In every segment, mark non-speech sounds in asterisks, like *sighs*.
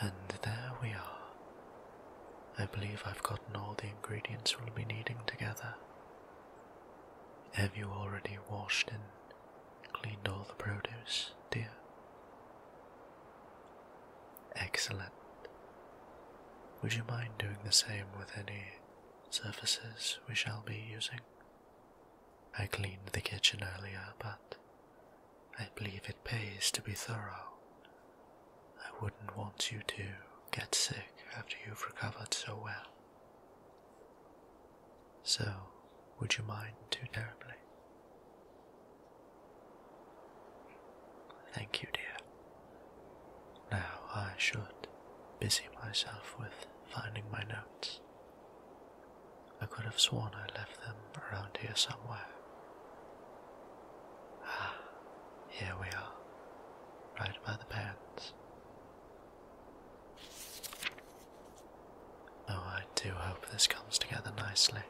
And there we are. I believe I've gotten all the ingredients we'll be needing together. Have you already washed in? Cleaned all the produce, dear. Excellent. Would you mind doing the same with any surfaces we shall be using? I cleaned the kitchen earlier, but I believe it pays to be thorough. I wouldn't want you to get sick after you've recovered so well. So, would you mind too terribly? Thank you, dear. Now I should busy myself with finding my notes. I could have sworn I left them around here somewhere. Ah, here we are, right by the pans. Oh, I do hope this comes together nicely.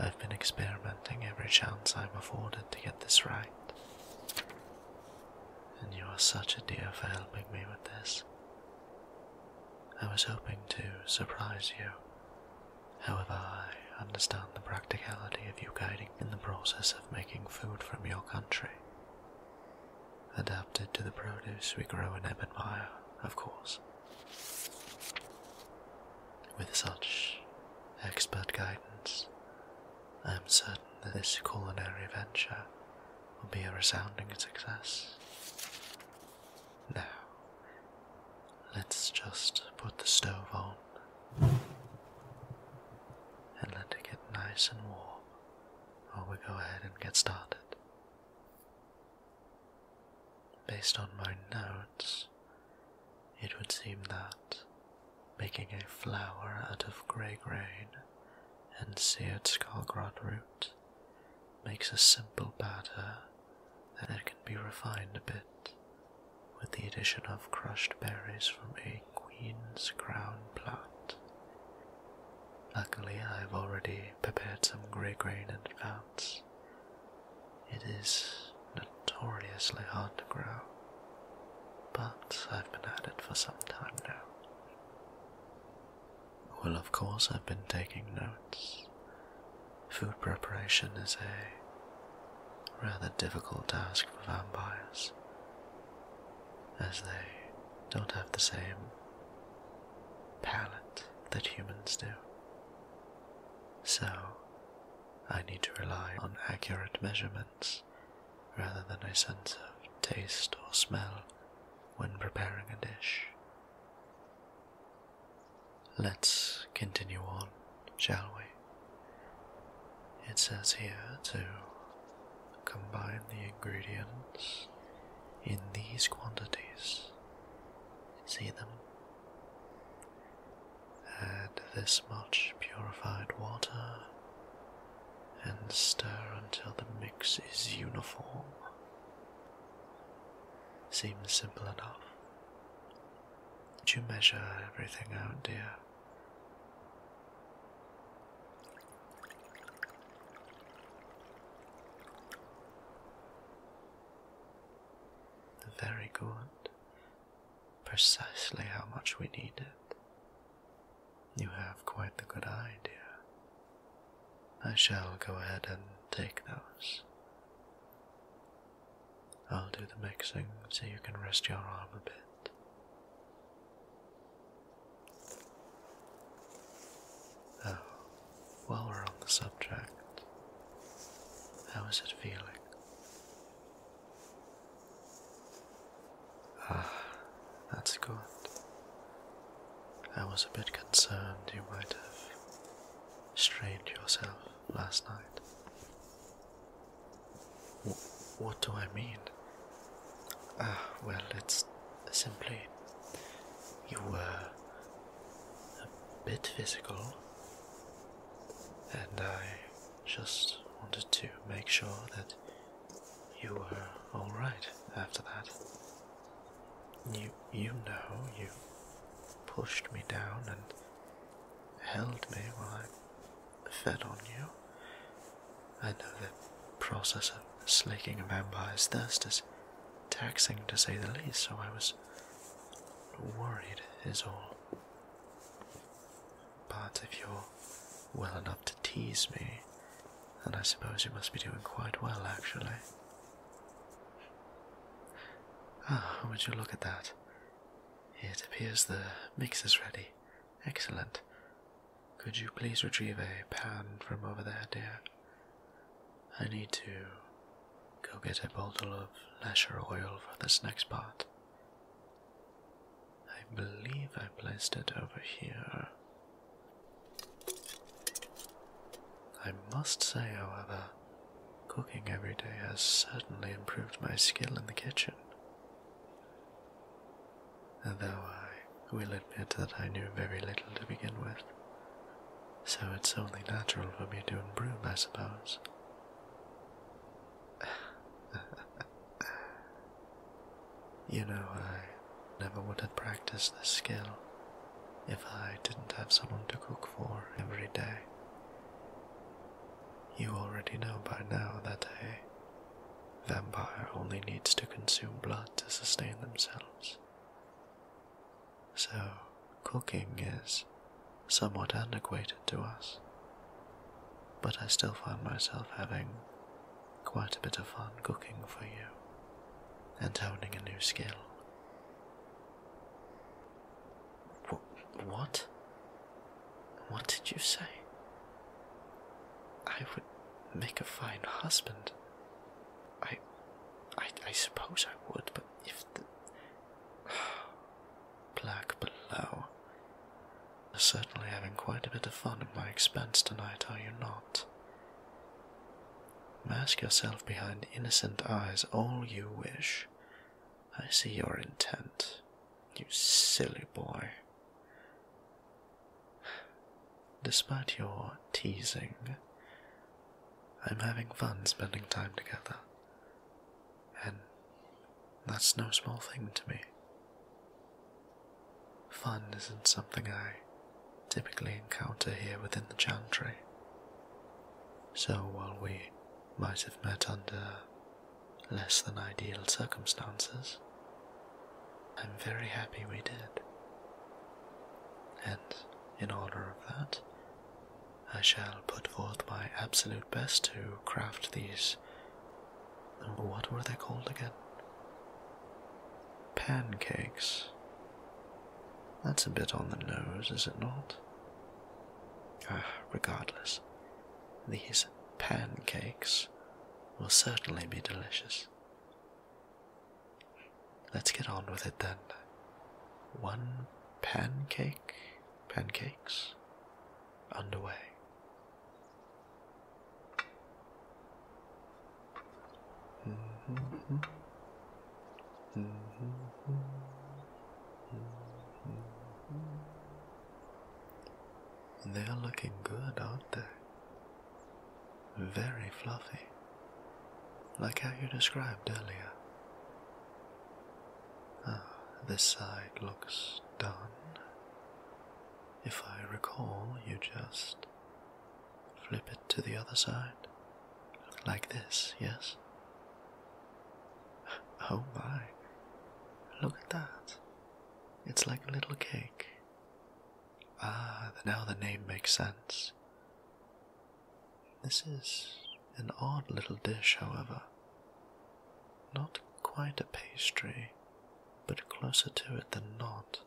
I've been experimenting every chance I'm afforded to get this right. And you are such a dear for helping me with this. I was hoping to surprise you. However, I understand the practicality of you guiding in the process of making food from your country. Adapted to the produce we grow in Ebonmire, of course. With such expert guidance, I am certain that this culinary venture will be a resounding success. Now, let's just put the stove on and let it get nice and warm while we go ahead and get started. Based on my notes, it would seem that making a flower out of grey grain and seared skullgrot root makes a simple batter that can be refined a bit with the addition of crushed berries from a queen's crown plant. Luckily, I've already prepared some grey grain and advance it is notoriously hard to grow, but I've been at it for some time now. Well, of course, I've been taking notes. Food preparation is a rather difficult task for vampires, as they don't have the same palate that humans do. So, I need to rely on accurate measurements rather than a sense of taste or smell when preparing a dish. Let's continue on, shall we? It says here to combine the ingredients in these quantities See them? Add this much purified water and stir until the mix is uniform. Seems simple enough. Did you measure everything out, dear? Very good. Precisely how much we need it. You have quite a good idea. I shall go ahead and take those. I'll do the mixing so you can rest your arm a bit. Oh, while we're on the subject, how is it feeling? Ah, that's good. I was a bit concerned you might have strained yourself last night. what do I mean? Ah, well, it's simply you were a bit physical, and I just wanted to make sure that you were alright after that. You, you know, you pushed me down and held me while I fed on you. I know the process of slaking a vampire's thirst is taxing to say the least, so I was worried, is all. But if you're well enough to tease me, then I suppose you must be doing quite well, actually. Ah, would you look at that? It appears the mix is ready. Excellent. Could you please retrieve a pan from over there, dear? I need to go get a bottle of lasher oil for this next part. I believe I placed it over here. I must say, however, cooking every day has certainly improved my skill in the kitchen. Though I will admit that I knew very little to begin with. So it's only natural for me to improve, I suppose. *laughs* you know, I never would have practiced this skill if I didn't have someone to cook for every day. You already know by now that a vampire only needs to consume blood to sustain themselves so cooking is somewhat antiquated to us. But I still find myself having quite a bit of fun cooking for you and honing a new skill. what? What did you say? I would make a fine husband. I, I, suppose I would, but if the *sighs* black below, you're certainly having quite a bit of fun at my expense tonight, are you not? Mask yourself behind innocent eyes all you wish. I see your intent, you silly boy. Despite your teasing, I'm having fun spending time together, and that's no small thing to me. Fun isn't something I typically encounter here within the Chantry. So while we might have met under less than ideal circumstances, I'm very happy we did. And in honor of that, I shall put forth my absolute best to craft these. What were they called again? Pancakes. That's a bit on the nose, is it not? Ah, regardless, these pancakes will certainly be delicious. Let's get on with it then. One pancake, pancakes, underway. Mm-hmm. Mm-hmm. Mm-hmm. They're looking good, aren't they? very fluffy, like how you described earlier. Ah, this side looks done. If I recall, you just flip it to the other side. Like this, yes? *laughs* Oh my, look at that. It's like a little cake. Ah, now the name makes sense. This is an odd little dish, however. Not quite a pastry, but closer to it than not.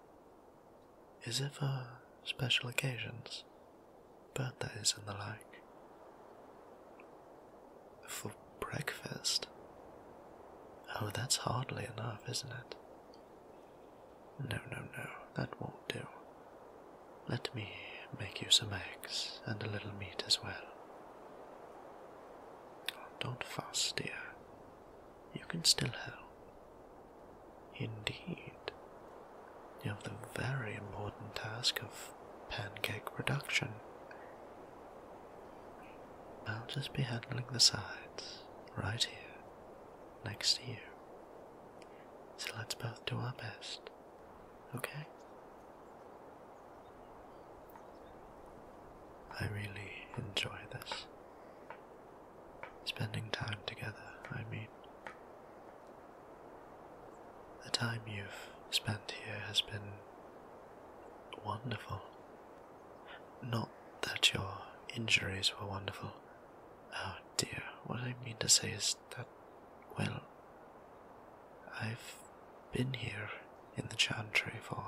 Is it for special occasions? Birthdays and the like. For breakfast? Oh, that's hardly enough, isn't it? No, no, no, that won't do. Let me make you some eggs and a little meat as well. Oh, don't fuss, dear. You can still help. Indeed, you have the very important task of pancake production. I'll just be handling the sides right here next year. So let's both do our best, okay? I really enjoy this. Spending time together, I mean. The time you've spent here has been wonderful. Not that your injuries were wonderful, Oh dear, what I mean to say is that, well, I've been here in the chantry for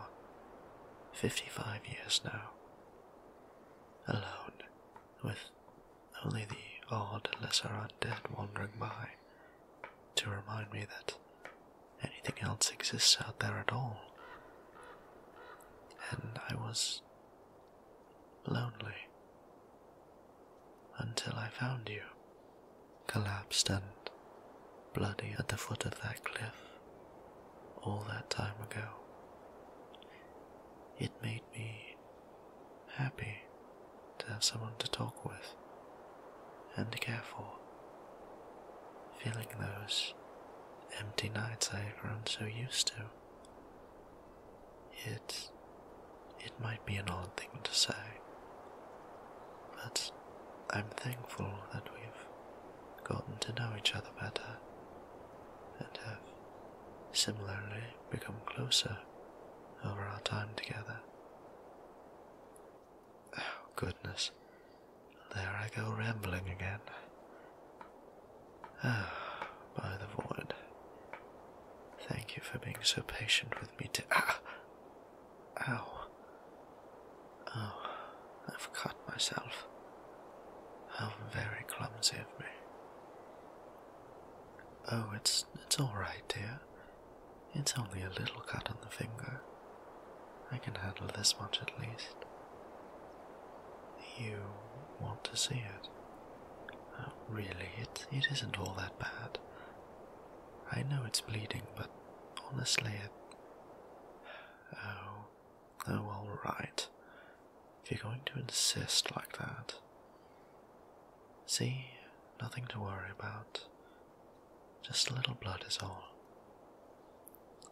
55 years now. Alone, with only the odd lesser undead wandering by to remind me that anything else exists out there at all. And I was lonely, until I found you, collapsed and bloody at the foot of that cliff all that time ago. It made me happy to have someone to talk with and to care for, feeling those empty nights I had grown so used to it it might be an odd thing to say, but I'm thankful that we've gotten to know each other better and have similarly become closer over our time together. Oh, goodness, there I go rambling again. Ah, *sighs* by the void. Thank you for being so patient with me Ah! Ow. Oh, I've cut myself. How very clumsy of me. Oh, it's it's all right, dear. It's only a little cut on the finger. I can handle this much at least. You want to see it? really, it, it isn't all that bad. I know it's bleeding, but honestly, it. Oh, oh, alright. If you're going to insist like that. See, nothing to worry about. Just a little blood is all.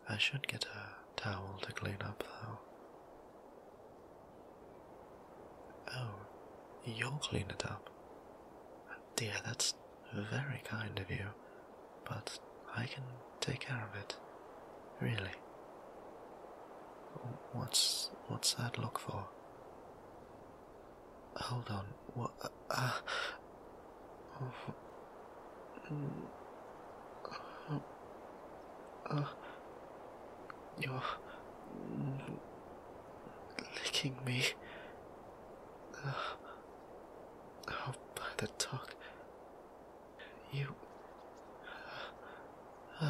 I should get a towel to clean up, though. Oh, you'll clean it up. Dear, that's very kind of you, but I can take care of it. Really. What's what's that look for? Hold on. What? Uh, uh oh, hmm. Oh, you're licking me. oh, by the dog. You. you.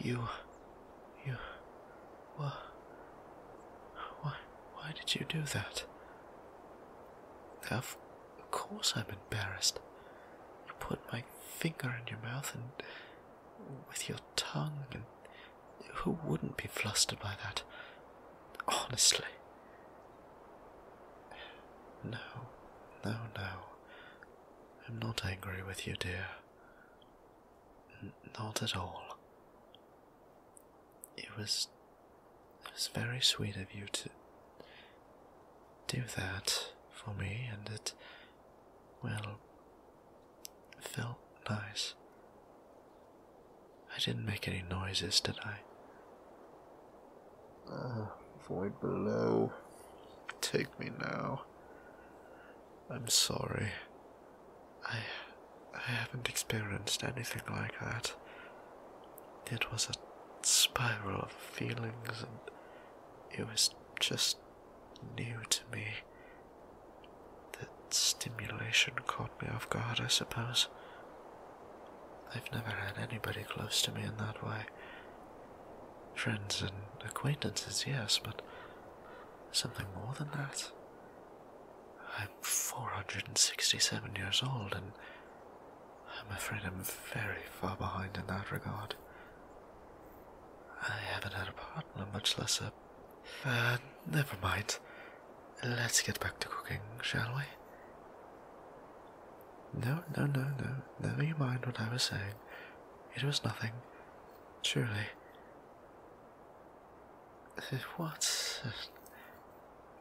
You. You. Why? Why did you do that? Of course, I'm embarrassed. You put my finger in your mouth and with your tongue, and who wouldn't be flustered by that? Honestly. No, no, no. I'm not angry with you, dear. not at all. It was it was very sweet of you to do that for me and it well felt nice. I didn't make any noises, did I? Ah, void below. Take me now. I'm sorry. I I haven't experienced anything like that. It was a spiral of feelings, and it was just new to me. The stimulation caught me off guard, I suppose. I've never had anybody close to me in that way. Friends and acquaintances, yes, but something more than that. I'm 467 years old, and I'm afraid I'm very far behind in that regard. I haven't had a partner, much less a. Uh, never mind. Let's get back to cooking, shall we? No, no, no, no. Never mind what I was saying. It was nothing. Truly. What?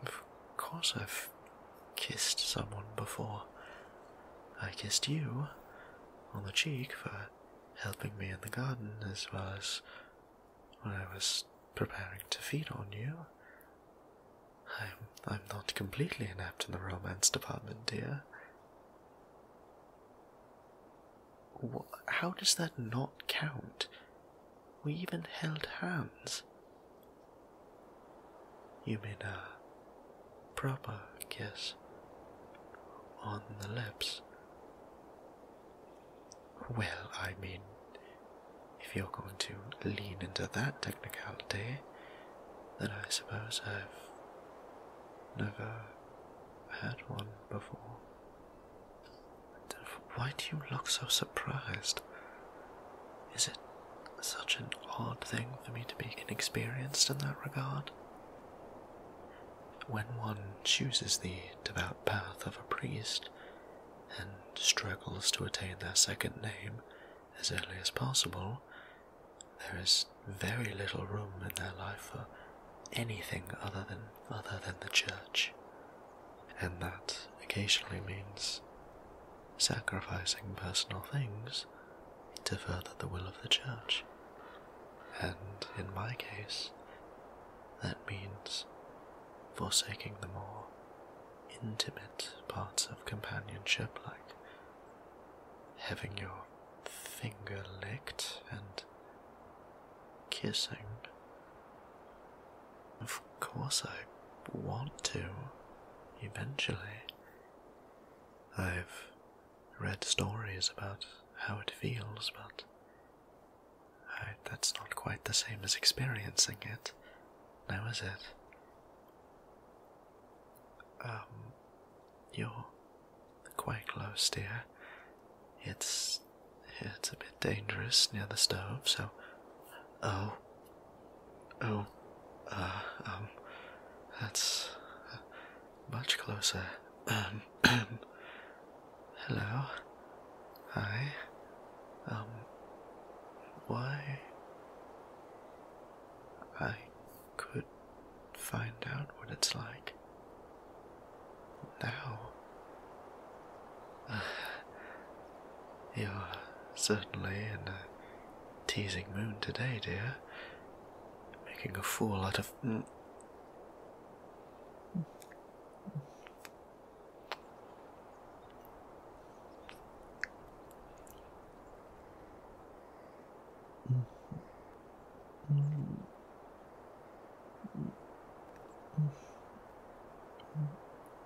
Of course I've kissed someone before. I kissed you on the cheek for helping me in the garden as well as when I was preparing to feed on you. I'm, I'm not completely inept in the romance department, dear. How does that not count? We even held hands. You mean a proper kiss on the lips? Well, I mean, if you're going to lean into that technicality, then I suppose I've never had one before why do you look so surprised? Is it such an odd thing for me to be inexperienced in that regard? When one chooses the devout path of a priest and struggles to attain their second name as early as possible, there is very little room in their life for anything other than other than the church and that occasionally means sacrificing personal things to further the will of the church. And in my case, that means forsaking the more intimate parts of companionship, like having your finger licked and kissing of course, I want to, eventually. I've read stories about how it feels, but that's not quite the same as experiencing it, now is it? Um, you're quite close, dear. It's it's a bit dangerous near the stove, so. Oh. Oh. Uh, um. That's. much closer. Um, *clears throat* hello. Hi. Um. Why. I could find out what it's like. Now. *sighs* You're certainly in a teasing mood today, dear. Making a fool out of. Mm.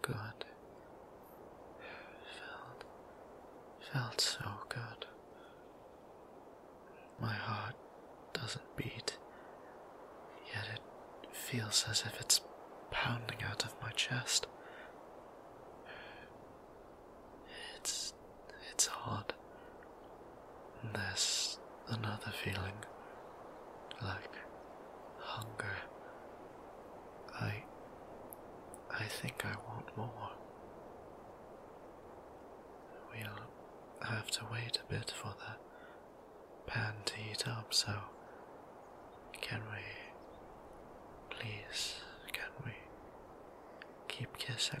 God, Felt, felt so good. My heart doesn't beat, yet it feels as if it's pounding out of my chest. It's. it's odd. There's another feeling, like hunger. I. I think I want more. We'll have to wait a bit for that pan to heat up, so can we please can we keep kissing?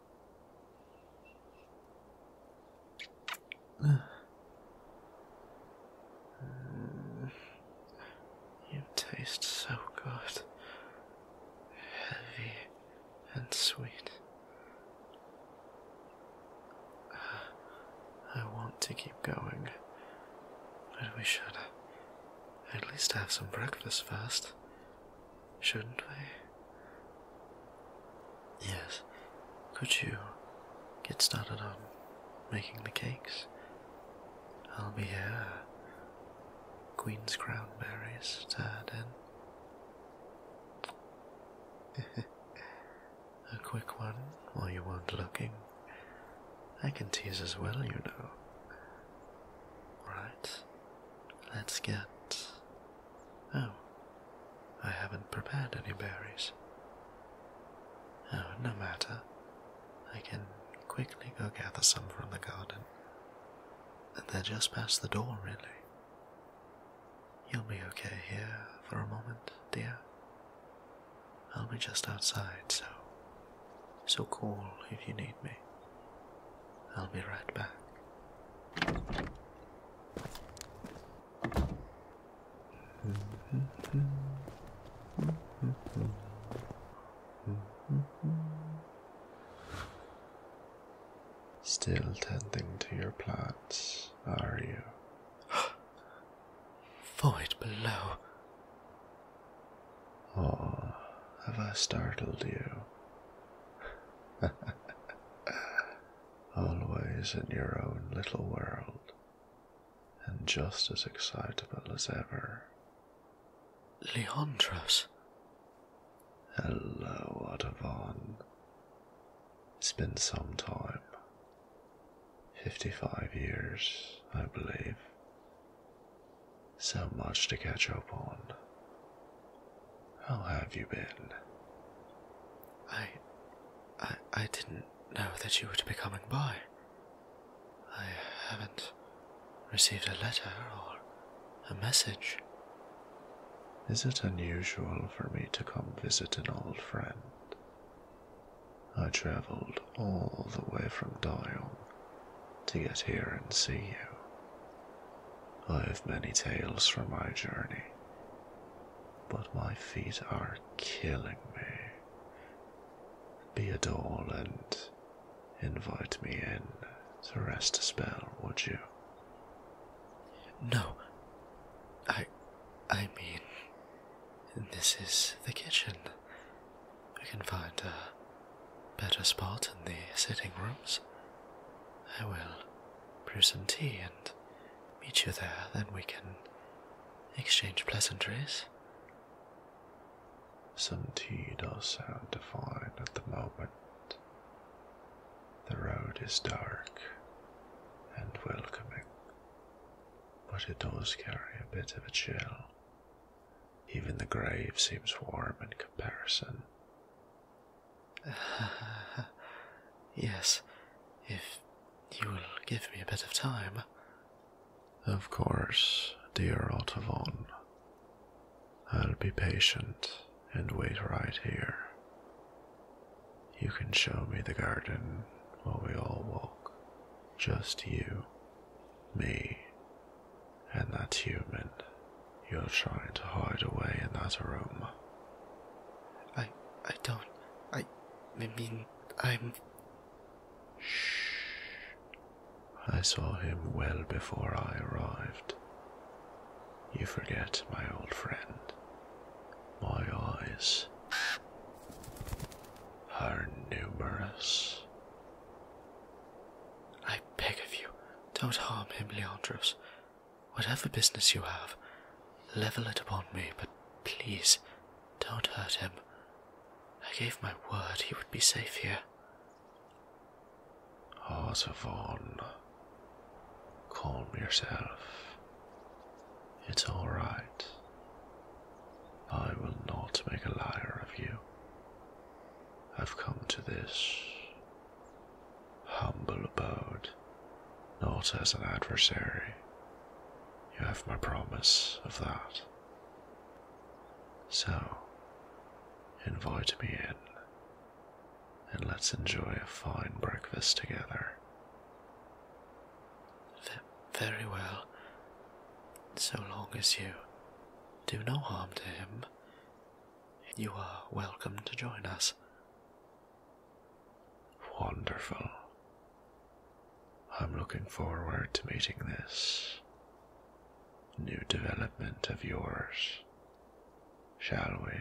*sighs* you taste so good, heavy and sweet. *sighs* I want to keep going, but we should at least have some breakfast first shouldn't we? Yes. Could you get started on making the cakes? I'll be here. Queen's Crown berries tied And *laughs* A quick one while you weren't looking. I can tease as well, you know. Right, let's get Oh, I haven't prepared any berries. Oh, no matter. I can quickly go gather some from the garden. they're just past the door, really. You'll be okay here for a moment, dear. I'll be just outside, so so call if you need me. I'll be right back. Still tending to your plants, are you? *gasps* Void below. Oh, have I startled you? *laughs* always in your own little world, and just as excitable as ever. Leandros. Hello, Otavon. It's been some time. 55 years, I believe. So much to catch up on. How have you been? I. I, I didn't know that you were to be coming by. I haven't received a letter or a message. Is it unusual for me to come visit an old friend? I traveled all the way from Dayong to get here and see you. I have many tales from my journey, but my feet are killing me. Be a doll and invite me in to rest a spell, would you? No. I. I mean. This is the kitchen. We can find a better spot in the sitting rooms. I will brew some tea and meet you there. Then we can exchange pleasantries. Some tea does sound divine at the moment. The road is dark and welcoming, but it does carry a bit of a chill. Even the grave seems warm in comparison. *sighs* yes, if you will give me a bit of time. Of course, dear Otavon. I'll be patient and wait right here. You can show me the garden while we all walk. Just you, me, and that human you're trying to hide away in that room. I I don't I I mean I'm Shh. I saw him well before I arrived. You forget, my old friend. My eyes are numerous. I beg of you, don't harm him, Leandros. Whatever business you have, level it upon me, but please don't hurt him. I gave my word he would be safe here. Osavon, calm yourself. It's all right. I will not make a liar of you. I've come to this humble abode, not as an adversary. You have my promise of that. So, invite me in, and let's enjoy a fine breakfast together. very well, so long as you do no harm to him, you are welcome to join us. Wonderful. I'm looking forward to meeting this new development of yours, shall we?